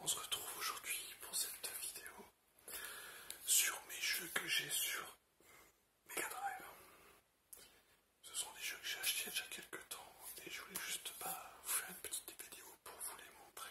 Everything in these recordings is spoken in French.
On se retrouve aujourd'hui pour cette vidéo sur mes jeux que j'ai sur Mega Drive. Ce sont des jeux que j'ai achetés il y a quelques temps et je voulais juste pas bah, vous faire une petite vidéo pour vous les montrer.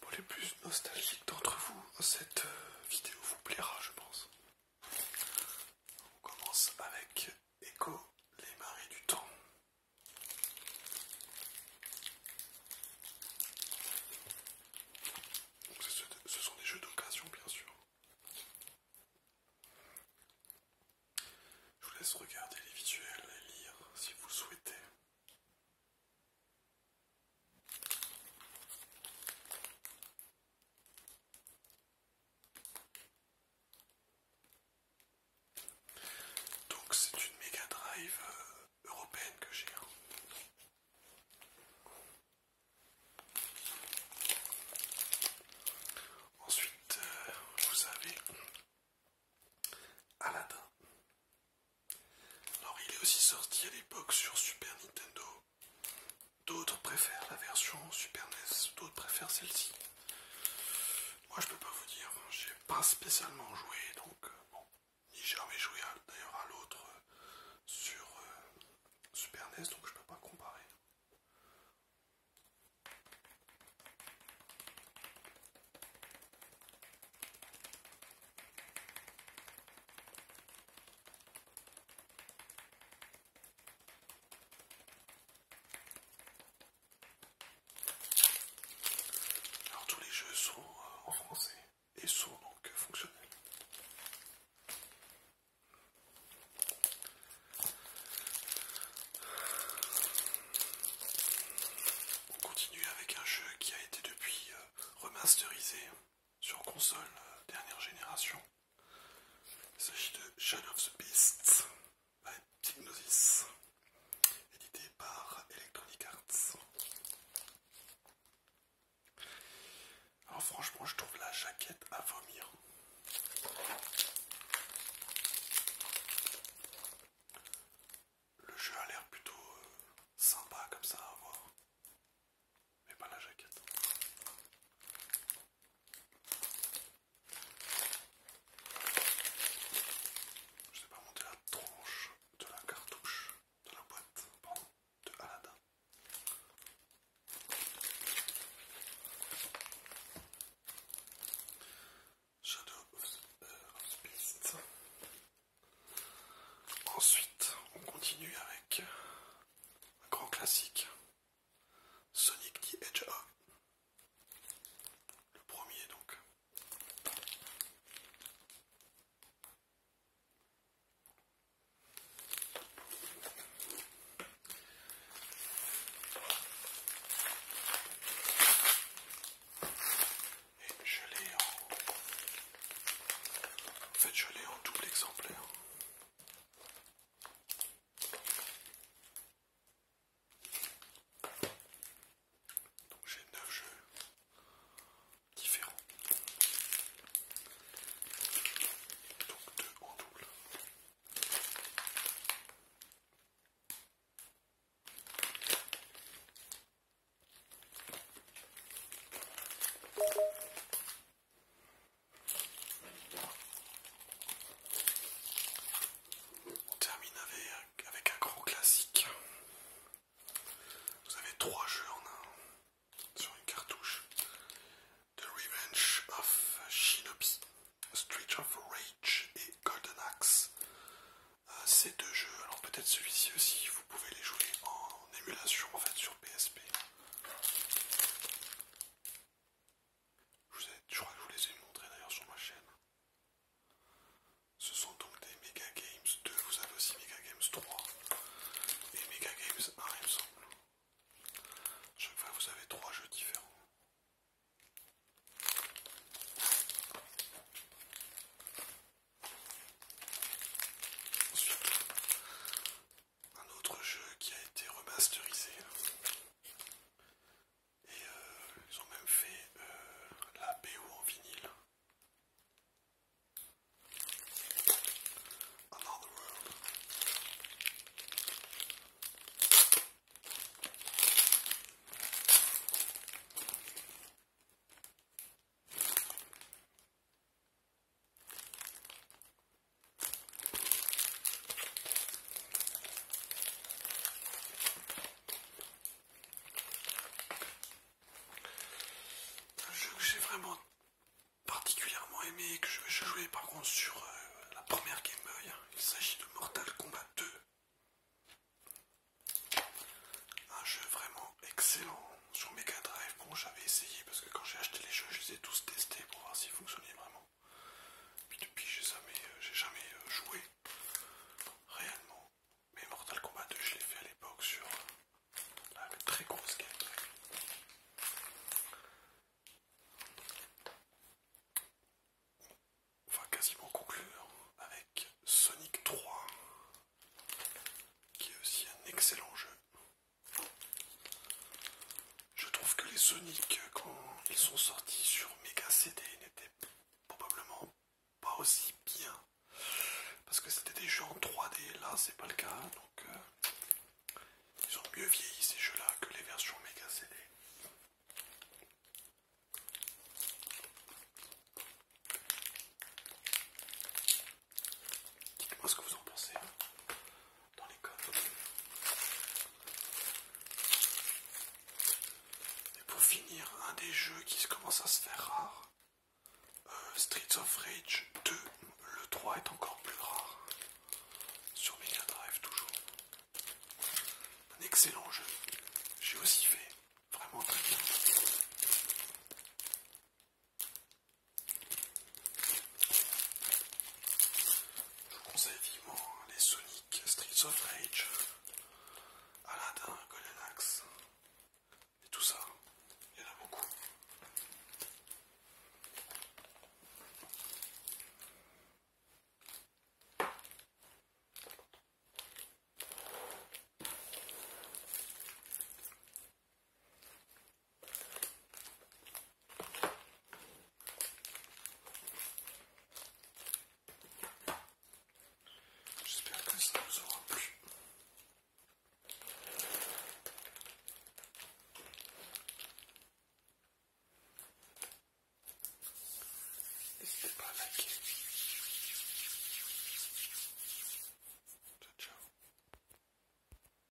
Pour les plus nostalgiques d'entre vous, cette euh, vidéo vous plaira, je pense. On commence avec Echo, les marées du temps. ce sont des jeux d'occasion, bien sûr. Je vous laisse regarder les visuels et lire si vous le souhaitez. Donc c'est une Mega Drive euh, européenne que j'ai. Hein. Ensuite, euh, vous avez Aladdin. Alors, il est aussi sorti à l'époque sur Super Nintendo. D'autres préfèrent la version Super NES, d'autres préfèrent celle-ci. Moi, je peux pas vous dire, j'ai pas spécialement joué, donc euh, bon. J'ai jamais joué d'ailleurs à l'autre euh, sur euh, Super NES, donc je peux pas comparer. Alors tous les jeux sont euh, en français et sont donc fonctionnels. On continue avec un jeu qui a été depuis euh, remasterisé sur console euh, dernière génération. Il s'agit de Shadow of the Beast by Psygnosis, édité par Electronic Arts. Alors franchement, je trouve la jaquette à vomir. Le jeu a l'air plutôt euh, sympa comme ça à voir. Mais pas la jaquette. Je sais pas monter la tranche de la cartouche de la boîte, de Aladdin. Shadow of euh, Beast. Ensuite, on continue avec un grand classique, Sonic the Hedgehog. Le premier donc. Et je l'ai en... fait, je l'ai en double exemplaire. Donc j'ai 9 jeux différents. Donc 2 en double. On termine avec, un gros classique. Vous avez trois jeux en un sur une cartouche. The Revenge of Shinobi, Street of Rage et Golden Axe. Euh, ces deux jeux, alors peut-être celui-ci aussi, vous pouvez les jouer en émulation en fait sur PSP. Je, je crois que je vous les ai montrés d'ailleurs sur ma chaîne. Ce sont donc des Mega Games 2, vous avez aussi Mega Games 3 et Mega Games 1 il me semble. Chaque fois vous avez trois jeux différents. Ensuite, un autre jeu qui a été remasterisé et euh, ils ont même fait euh, la BO en vinyle. Un jeu que j'ai vraiment particulièrement aimé et que je, jouais par contre sur euh, la première Game Boy. Hein. Il s'agit de Mortal Kombat 2. Un jeu vraiment excellent sur Mega Drive. Bon, j'avais essayé parce que quand j'ai acheté les jeux, je les ai tous testés pour voir s'ils fonctionnaient vraiment. Puis depuis, j'ai jamais, euh, jamais euh, joué réellement. Mais Mortal Kombat 2, je l'ai fait à l'époque sur euh, la très grosse game. On va quasiment conclure avec Sonic 3, qui est aussi un excellent jeu. Je trouve que les Sonic, euh, quand ils sont sortis sur Mega CD, n'étaient probablement pas aussi bien. Parce que c'était des jeux en 3D, là c'est pas le cas. Donc euh, ils ont mieux vieilli ces jeux-là que les versions Mega CD. Dites-moi ce que vous en pensez dans les codes. Et pour finir, un des jeux qui commence à se faire rare, euh, Streets of Rage 2, le 3 est encore plus rare. Sur Mega Drive toujours. Un excellent jeu. J'ai aussi fait vraiment très bien. Je vous conseille vivement les Sonic Streets of Rage, Aladdin, Golden Axe, et tout ça, il y en a beaucoup. J'espère que ça vous aura plu. N'hésitez pas à liker. Ciao, ciao.